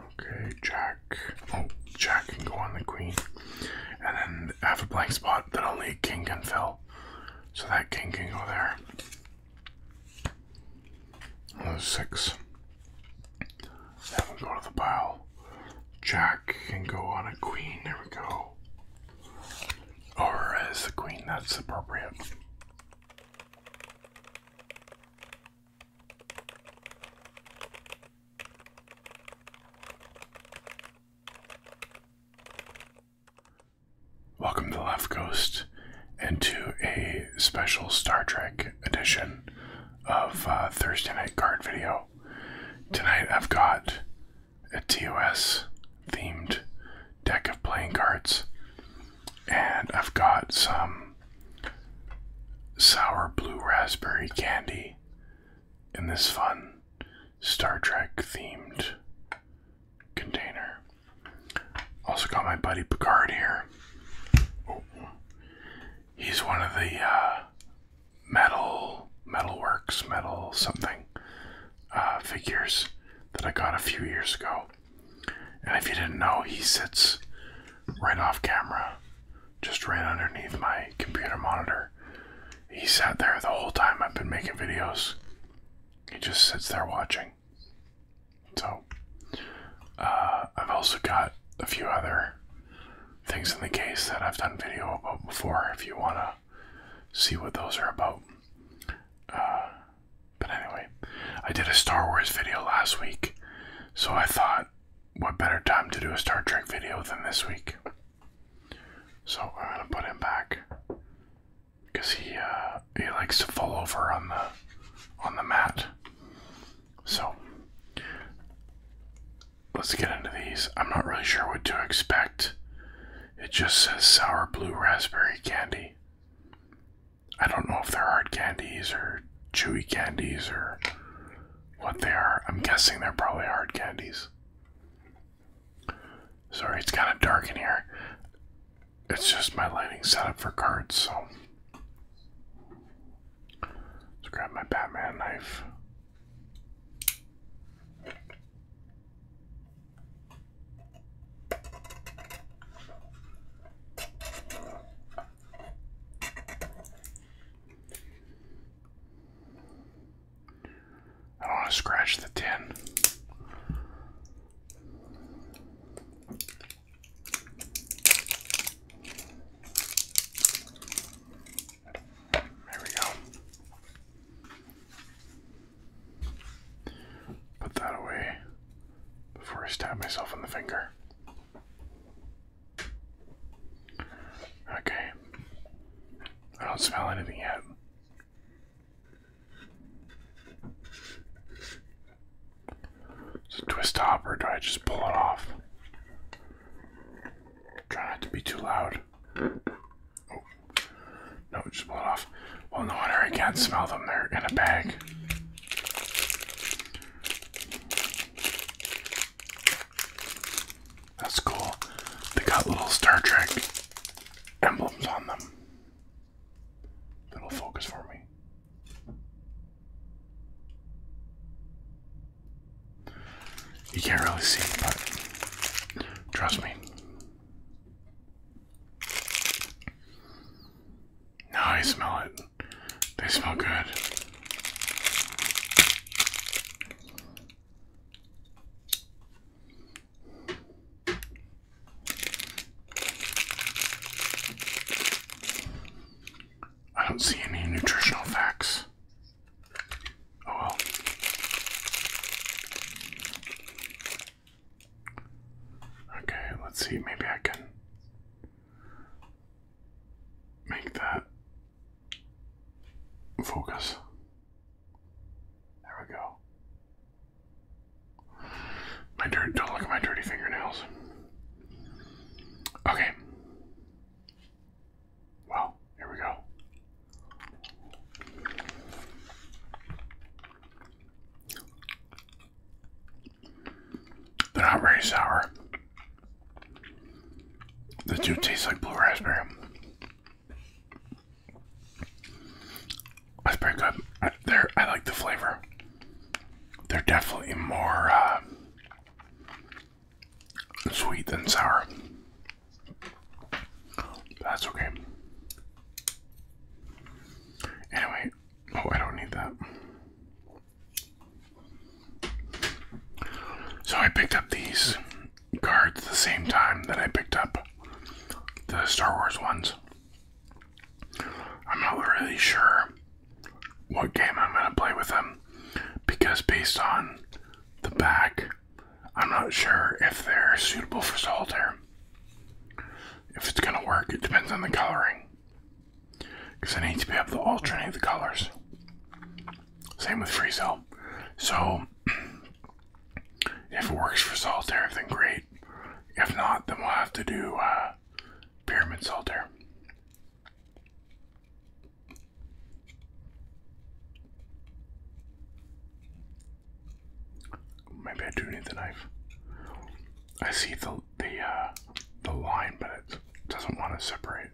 Okay, Jack. Oh, Jack can go on the queen. And then have a blank spot that only king can fill. So that king can go there. And those six. Then we go to the pile. Jack can go on a queen. There we go. Or as the queen, that's appropriate. Welcome to Left Ghost, and to a special Star Trek edition of uh, Thursday Night Card Video. Tonight I've got a TOS themed deck of playing cards, and I've got some sour blue raspberry candy in this fun Star Trek themed container. Also got my buddy Picard here. Oh. He's one of the uh, metal metalworks, metal something uh, figures that I got a few years ago. And if you didn't know, he sits right off camera just ran underneath my computer monitor. He sat there the whole time I've been making videos. He just sits there watching. So, uh, I've also got a few other things in the case that I've done video about before if you want to see what those are about. Uh, but anyway, I did a Star Wars video last week, so I thought what better time to do a Star Trek video than this week? So I'm gonna put him back because he uh, he likes to fall over on the on the mat. So let's get into these. I'm not really sure what to expect. It just says sour blue raspberry candy. I don't know if they're hard candies or chewy candies or what they are. I'm guessing they're probably hard candies. Sorry, it's kind of dark in here. It's just my lighting setup for cards, so. Let's grab my Batman knife. I don't want to scratch the tin. There we go. Put that away before I stab myself in the finger. Okay. I don't smell anything yet. It's a twist top, or do I just pull it off? Try not to be too loud. Oh. No, just pull it off. Well, no wonder I can't smell them. They're in a bag. That's cool. They got little Star Trek emblems on them. That'll focus for me. You can't really see, but trust me. Now I smell it. They smell good. I don't see any nutritional facts. Oh well. Okay, let's see. Maybe I can make that Focus. There we go. My dirt, don't look at my dirty fingernails. Okay. Well, here we go. They're not very sour. The two tastes like blue raspberry. That's pretty good. I, they're, I like the flavor. They're definitely more uh, sweet than sour. That's okay. Anyway, oh, I don't need that. So I picked up these cards at the same time that I picked up the Star Wars ones. I'm not really sure what game I'm going to play with them because based on the back, I'm not sure if they're suitable for solitaire. If it's going to work, it depends on the coloring because I need to be able to alternate the colors. Same with Frieza. So, if it works for Solitaire, then great. If not, then we'll have to do uh, Pyramid Solitaire. Maybe I do need the knife. I see the the uh, the line, but it doesn't want to separate.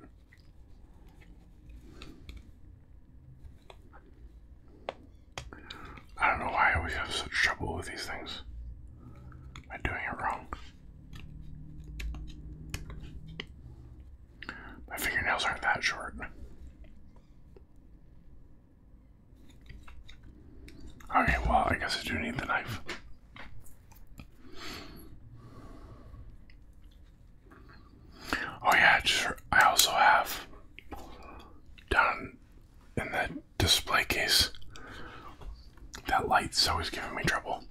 I don't know why I always have such trouble with these things. Am I doing it wrong? My fingernails aren't that short. Okay, well, I guess I do need the knife. Oh yeah, sure. I also have down in the display case that light's always giving me trouble.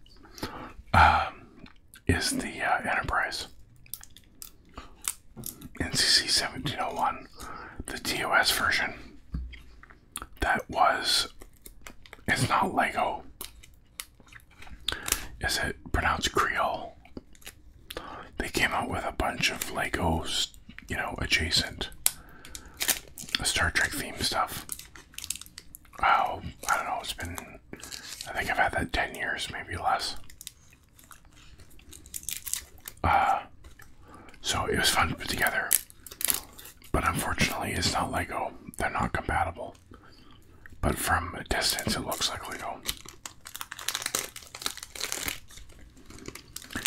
Um, is the uh, Enterprise NCC 1701, the TOS version? That was. It's not Lego. Is it pronounced Creole? They came out with a bunch of Legos, you know, adjacent Star Trek theme stuff. Oh, I don't know, it's been, I think I've had that 10 years, maybe less. Uh, so it was fun to put together. But unfortunately, it's not Lego. They're not compatible but from a distance it looks like legal.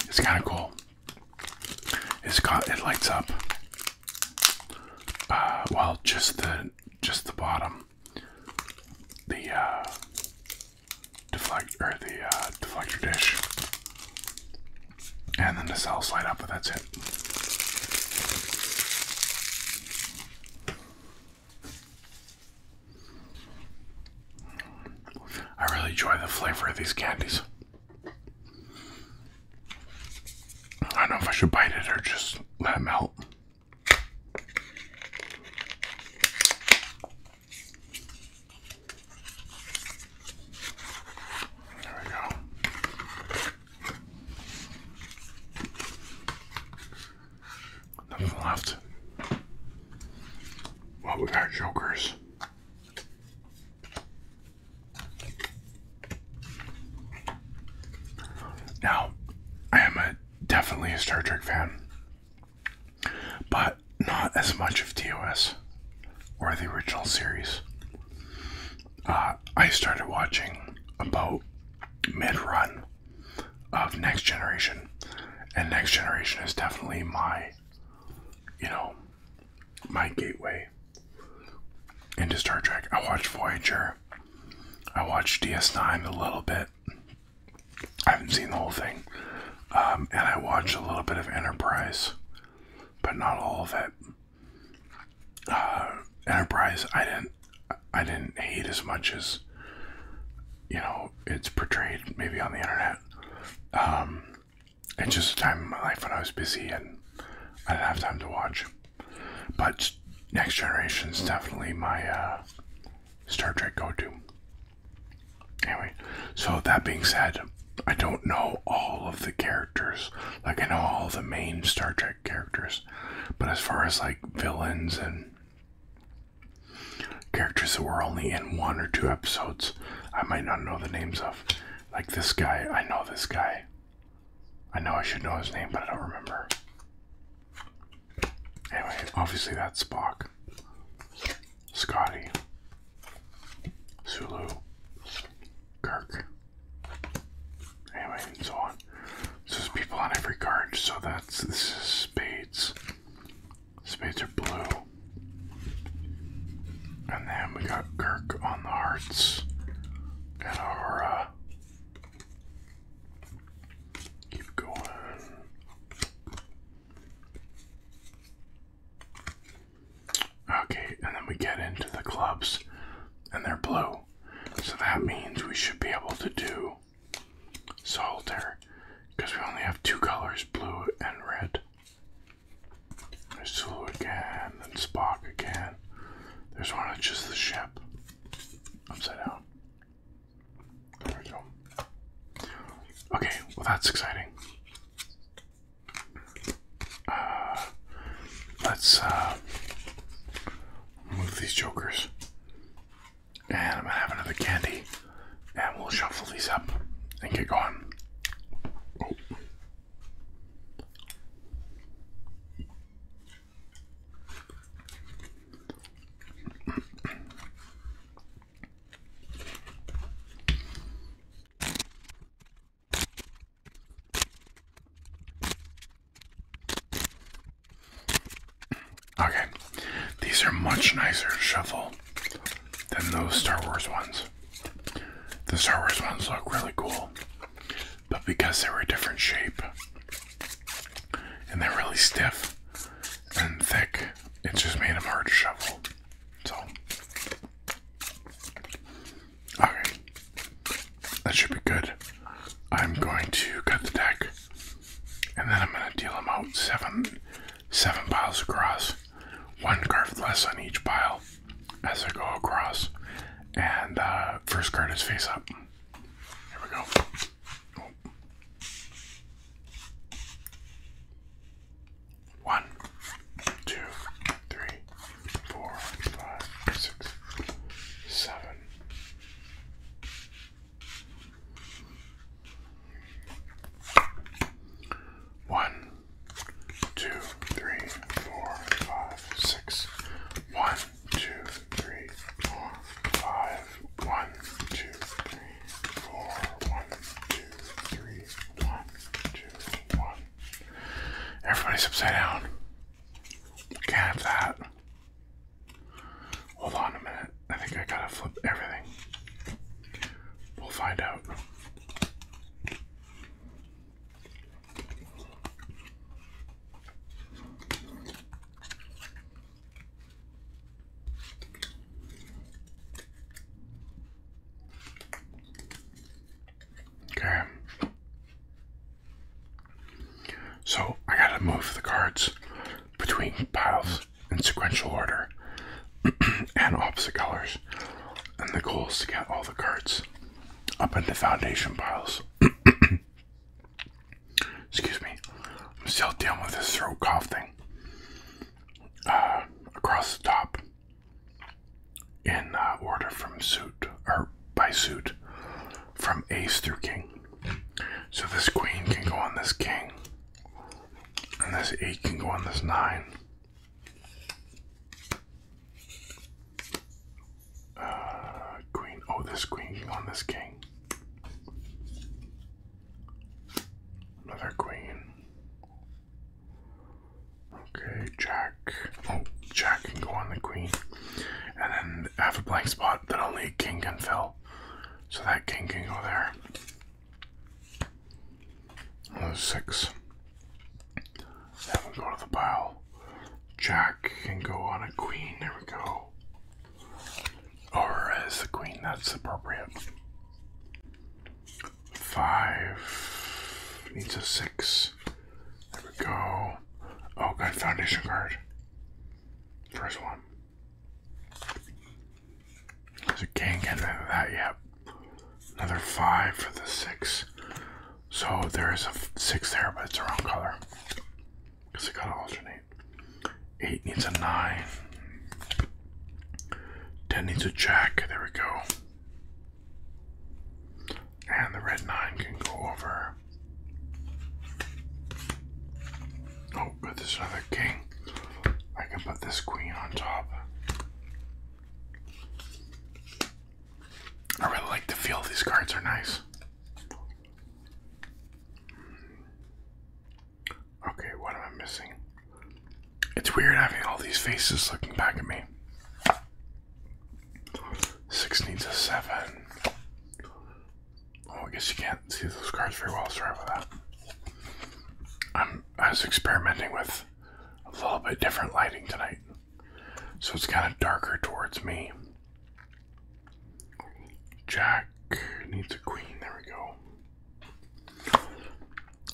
It's kind of cool. It's got it lights up. Uh, well, just the just the bottom, the uh, or the uh, deflector dish, and then the cells light up. But that's it. I really enjoy the flavor of these candies. I don't know if I should bite it or just let it melt. There we go. Nothing left. Well, we got jokers. Now, I am a, definitely a Star Trek fan, but not as much of TOS or the original series. Uh, I started watching about mid run of Next Generation, and Next Generation is definitely my, you know, my gateway into Star Trek. I watched Voyager, I watched DS9 a little bit. I haven't seen the whole thing. Um, and I watched a little bit of Enterprise, but not all of it. Uh, Enterprise, I didn't I didn't hate as much as you know it's portrayed maybe on the internet. Um, it's just a time in my life when I was busy and I didn't have time to watch. But Next Generation is definitely my uh, Star Trek go-to. Anyway, so that being said, I don't know all of the characters. Like I know all the main Star Trek characters. But as far as like villains and characters that were only in one or two episodes, I might not know the names of. Like this guy, I know this guy. I know I should know his name, but I don't remember. Anyway, obviously that's Spock, Scotty, Sulu, Kirk. Anyway, and so on. So people on every card. So that's this spades. Spades are blue. And then we got Kirk on the hearts. And our keep going. Okay, and then we get into the clubs, and they're blue. So that means we should be able to do solitaire because we only have two colors, blue and red. There's Zulu again, then Spock again. There's one that's just the ship. Upside down. There we go. Okay, well that's exciting. Uh, let's uh, Move these jokers. And I'm gonna have another candy. And we'll shuffle these up and get going. Okay, these are much nicer to shuffle than those Star Wars ones. The Star Wars ones look really cool, but because they were a different shape and they're really stiff and thick, it just made them hard to shuffle. So, okay, that should be good. I'm going to cut the deck, and then I'm going to deal them out seven, seven piles across, one card less on each pile as I go across. And uh, first card is face up. Here we go. One, two, three, four, five, six, seven, one, two, three, four, five, six. One, two, three, four, five. One, two, three, four. One, two, three, one, two, one. Everybody's upside down. Can't have that. Hold on a minute. I think I gotta flip everything. We'll find out. Okay. So I gotta move the cards between piles in sequential order and opposite colors. And the goal is to get all the cards up into foundation piles. Excuse me. I'm still dealing with this throat cough thing. Uh, across the top in uh, order from suit or by suit from ace through king. So this queen can go on this king. And this 8 can go on this 9. Uh, queen. Oh, this queen on this king. Another queen. Okay, jack. Oh, jack can go on the queen and then have a blank spot that only king can fill. So that king can go there. Those six. That will go to the pile. Jack can go on a queen. There we go. Or as a queen, that's appropriate. Five needs a six. There we go. Oh, good foundation card. First one. I can't get rid of that yet. Another five for the six. So there is a six there, but it's a wrong color. Because I gotta alternate. Eight needs a nine. Ten needs a jack. There we go. And the red nine can go over. Oh, but there's another king. I can put this queen on top. I really like the feel. These cards are nice. Okay, what am I missing? It's weird having all these faces looking back at me. Six needs a seven. Oh, I guess you can't see those cards very well. Sorry about that. I'm I was experimenting with a little bit different lighting tonight, so it's kind of darker towards me. Jack needs a queen. There we go.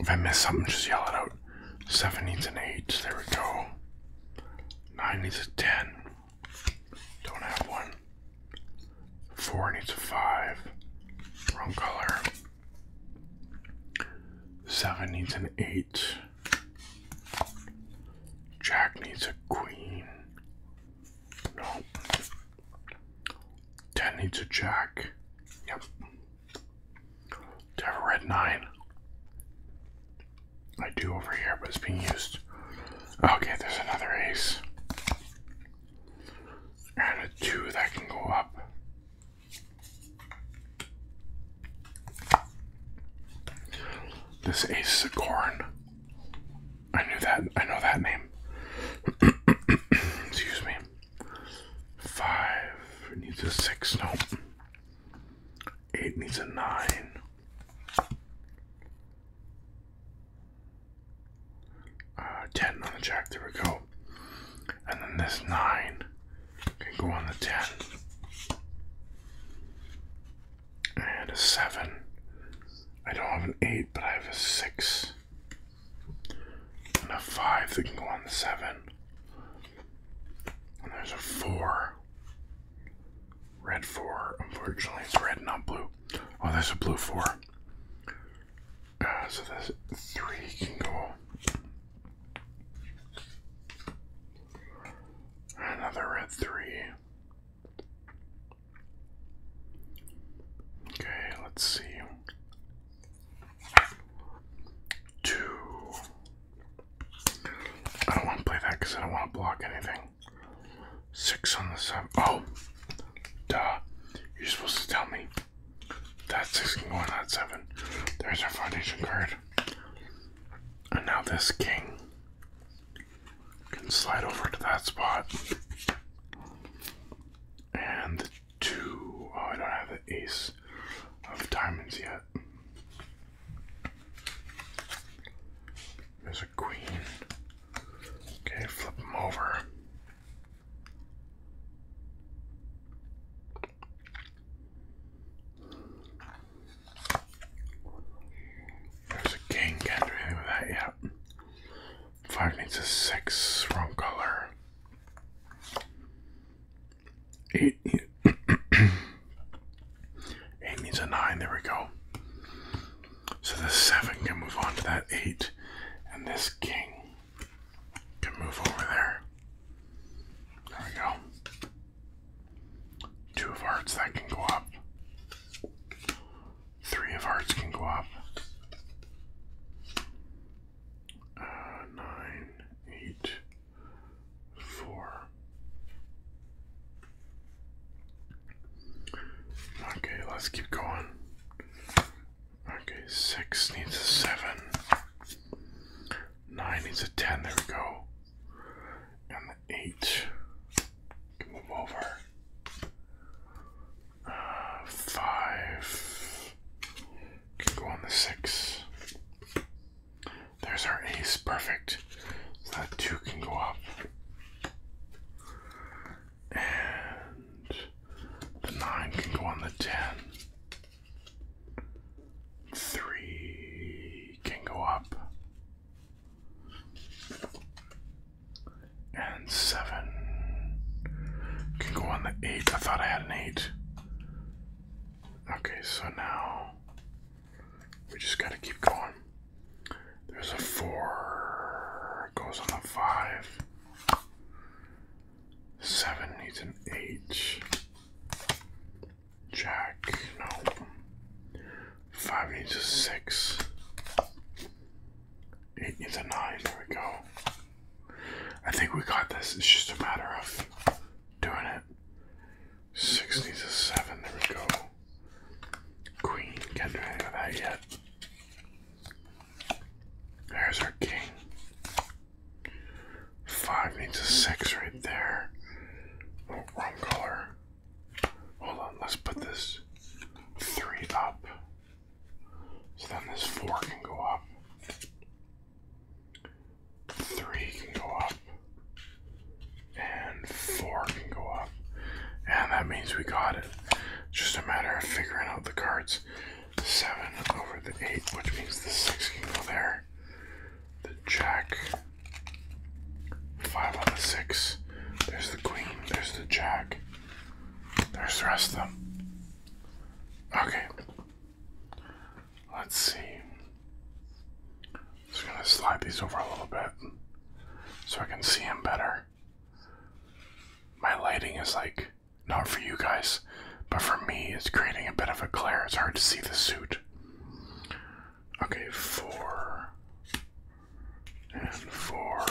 If I miss something, just yell it out. Seven needs an eight. There we go. Nine needs a ten. Don't have one. Four needs a five. Wrong color. Seven needs an eight. Jack needs a queen. No. Ten needs a jack. Yep. To have nine. I do over here, but it's being used. Okay, there's another ace. And a two that can go up. This ace is a corn. I knew that. I know that name. Excuse me. Five needs a six. No. Eight needs a nine. Uh, 10 on the jack, there we go. And then this 9 can go on the 10. And a 7. I don't have an 8, but I have a 6. And a 5 that can go on the 7. And there's a 4. Red 4, unfortunately, it's red, not blue. Oh, there's a blue 4. Uh, so this 3 can go. Another red 3. Okay, let's see. 2. I don't want to play that because I don't want to block anything. Six on the seven. Oh, duh. You're supposed to tell me. That six can go on that seven. There's our foundation card. And now this king can slide over to that spot. And the two. Oh, I don't have the ace of diamonds yet. There's a queen. Okay, flip them over. There's a king, can't do anything with that yet. Five needs a six, wrong color. Eight, eight needs a nine, there we go. So the seven can move on to that eight, and this king can move over there. There we go. Two of hearts that can go up. Three of hearts can go up. Uh, nine, eight, four, Okay, let's keep going. Okay, six needs a seven. Nine needs a ten, there we go. And the eight can move over. Uh, five can go on the six. There's our ace, perfect. that two can go up. And the 9 can go on the 10. 3 can go up. And 7 can go on the 8. I thought I had an 8. Okay, so now we just gotta keep going. There's a four, goes on a five. Seven needs an eight. Jack, no. Five needs a six. Eight needs a nine. There we go. I think we got this. It's just a matter of doing it. Six needs a seven. There we go. Queen can't do anything with that yet. There's our king. Five needs a six right there. Oh, wrong color. Hold on, let's put this three up. So then this four can go up. Three can go up. And four can go up. And that means we got it. Just a matter of figuring out the cards. 7 over the 8, which means the 6 can go there. The jack. 5 on the 6. There's the queen. There's the jack. There's the rest of them. Okay. Let's see. Just gonna slide these over a little bit so I can see him better. My lighting is like not for you guys, but for me, it's creating a bit of a glare. It's hard to see the suit. Okay, four and four.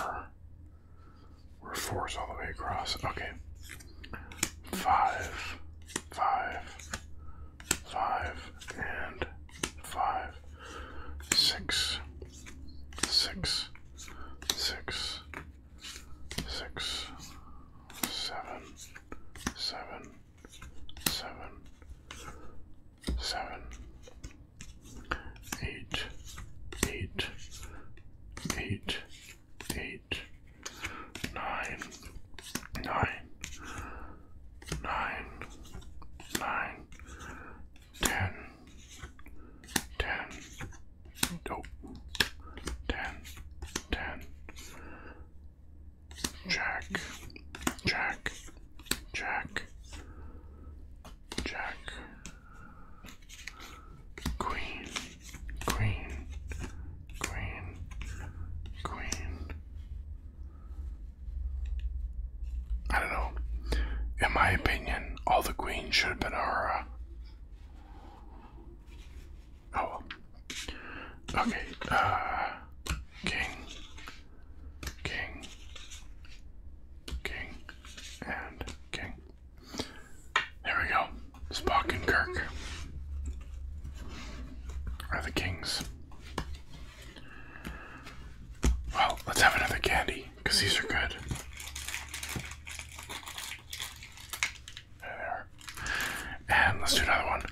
We're fours all the way across. Okay, five, five, five, and five, six, six, six, six, seven, seven, seven, seven, eight, eight, eight, eight, nine, nine, nine, nine, ten, ten, nope, ten, ten, jack, jack, jack, jack, queen, queen, queen, queen. I don't know. In my opinion, all the queens should have been our. Uh... Oh. Okay. Uh, king. King. King. And king. There we go. Spock and Kirk are the kings. Well, let's have another candy. Because these are good. And let's do another one.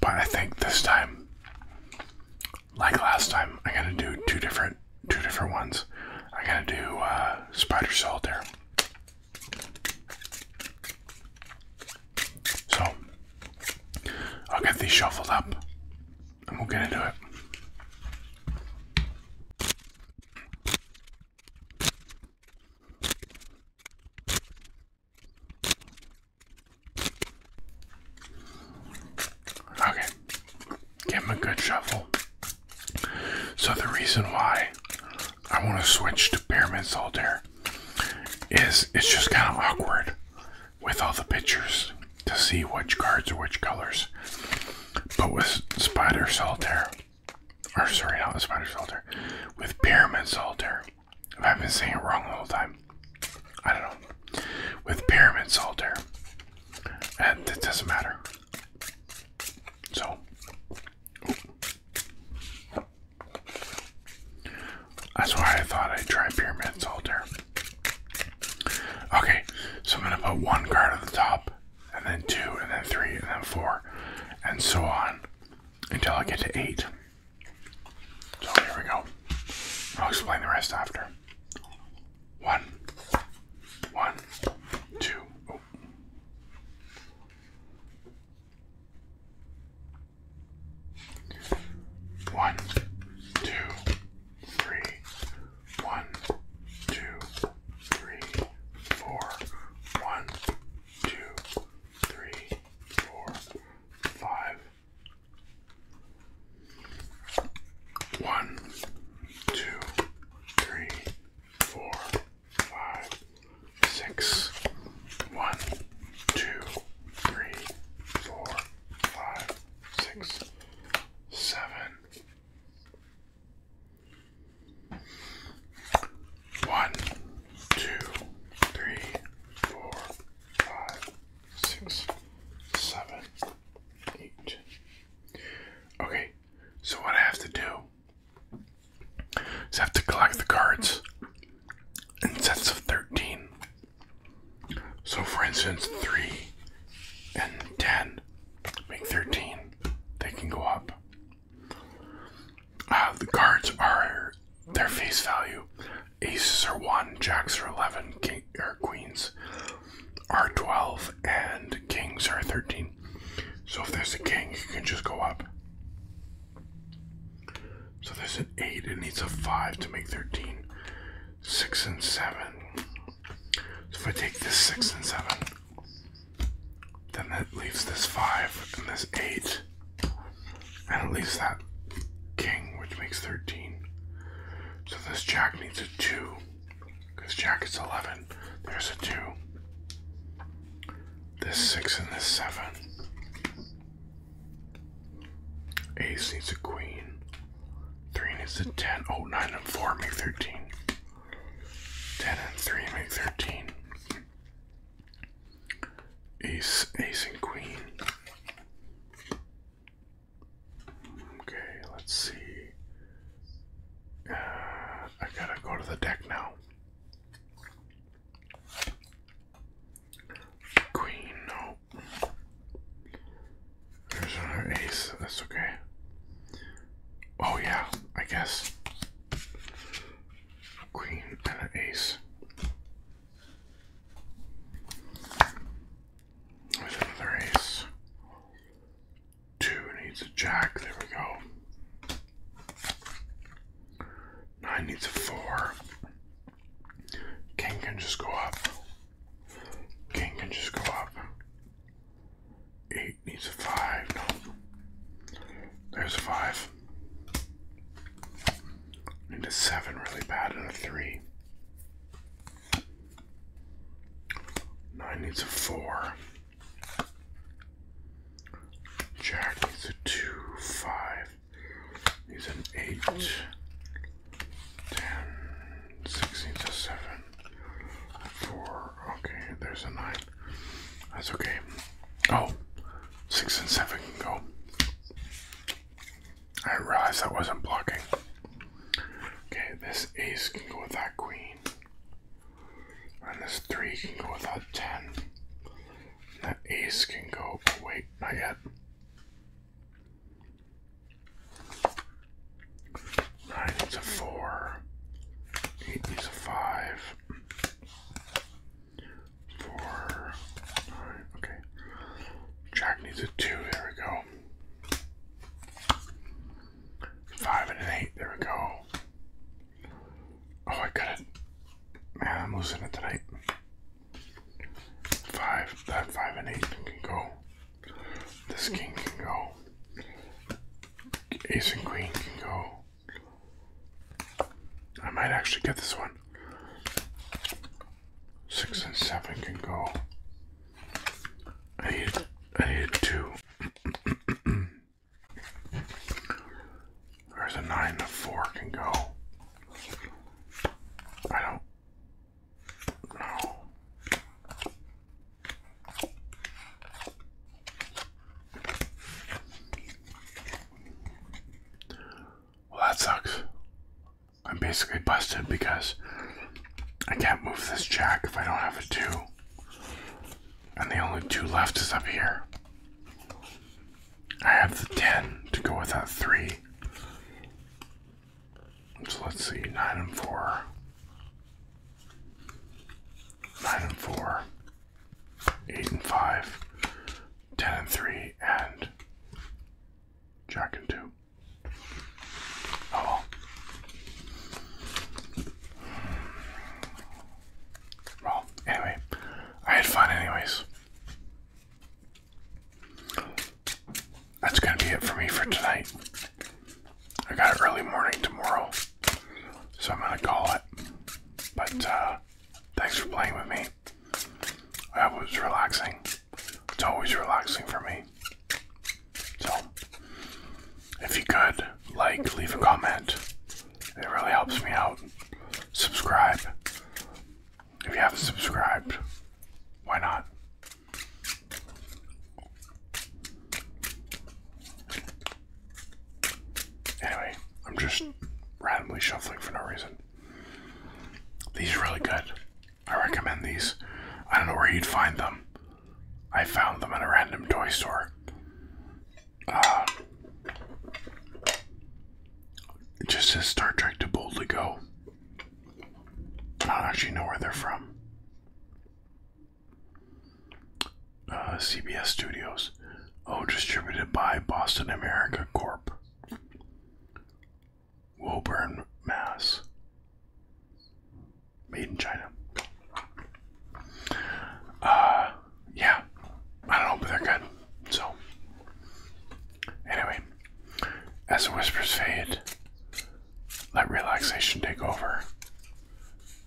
But I think this time, like last time, I'm gonna do two different two different ones. I'm gonna do uh, spider solitaire. So I'll get these shuffled up and we'll get into it. Okay, give him a good shuffle. So, the reason why I want to switch to Pyramid Solitaire is it's just kind of awkward with all the pictures to see which cards are which colors. But with Spider Solitaire, or sorry, not the Spider Solitaire, with Pyramid Solitaire, if I've been saying it wrong the whole time, I don't know. With Pyramid Solitaire, and it doesn't matter. So, that's why I thought I'd try Pyramid Solitaire. Okay, so I'm gonna put one card at the top and then two, and then three, and then four, and so on until I get to eight. So here we go. I'll explain the rest after. One, one, two. Oh. One, two, three, one, two, three, four. One, two, three, four, five. One, two, three, four, five, six. One, two, three, four, five, six, seven, one, two, three, four, five, six, seven, eight. Okay, so what I have to do is have to collect the cards in sets of 13. So, for instance, 3 and 10 make 13. They can go up. Uh, the cards are their face value. Aces are 1, jacks are 11, king, or queens are 12, and kings are 13. So if there's a king, you can just go up. So there's an 8, it needs a 5 to make 13. 6 and 7. if I take this 6 and 7, then it leaves this five and this eight. And it leaves that king, which makes 13. So this jack needs a two. Because jack is 11. There's a two. This six and this seven. Ace needs a queen. Three needs a ten. Oh, nine and four make 13. Ten and three make thirteen. Ace, ace and queen. Okay, let's see. Uh, I gotta go to the deck now. Queen, no. There's another ace, that's okay. Oh yeah, I guess. queen and an ace. There's another ace. Two needs a jack. There we go. Nine needs a four. King can just go up. King can just go up. Eight needs a five. There's a five. Need a seven really bad and a three. Nine needs a four. Jack needs a two, five. Needs an eight. Ten. Six needs a seven four. Okay, there's a nine. That's okay. Oh, six and seven can go. I realized that wasn't blocking. Okay, this ace can go with that queen. And this three can go with that ten. That ace can go. Oh, wait, not yet. Nine is a four. Eight is a five. Four. Nine. Okay. Jack needs a two. There we go. Five and an eight. There we go. Oh, I got it. Man, I'm losing it tonight. Five. That five and eight can go. This king can go. Ace and queen can go. I might actually get this one. Six and seven can go. I hit. I need two. There's a nine and four can go. I don't know. Well, that sucks. I'm basically busted because I can't move this jack if I don't have a two. And the only two left is up here. I have the 10 to go with that 3. So let's see, 9 and 4. 9 and 4, 8 and 5, 10 and 3, and Jack and 2. Oh well. Well, anyway, I had fun, anyways. That's going to be it for me for tonight. I got early morning tomorrow, so I'm gonna call it. But uh, thanks for playing with me. It was relaxing. It's always relaxing for me. So, if you could, like, leave a comment. It really helps me out. Subscribe. If you haven't subscribed, why not? Anyway, I'm just randomly shuffling for no reason. These are really good. I recommend these. I don't know where you'd find them. I found them at a random toy store. it uh, just says Star Trek to boldly go. I don't actually know where they're from. Uh, CBS Studios. Oh, distributed by Boston America Corp. Woburn, Mass. Made in China. Uh, yeah. I don't know, but they're good. So, anyway, as the whispers fade, let relaxation take over.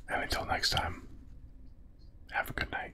And until next time, have a good night.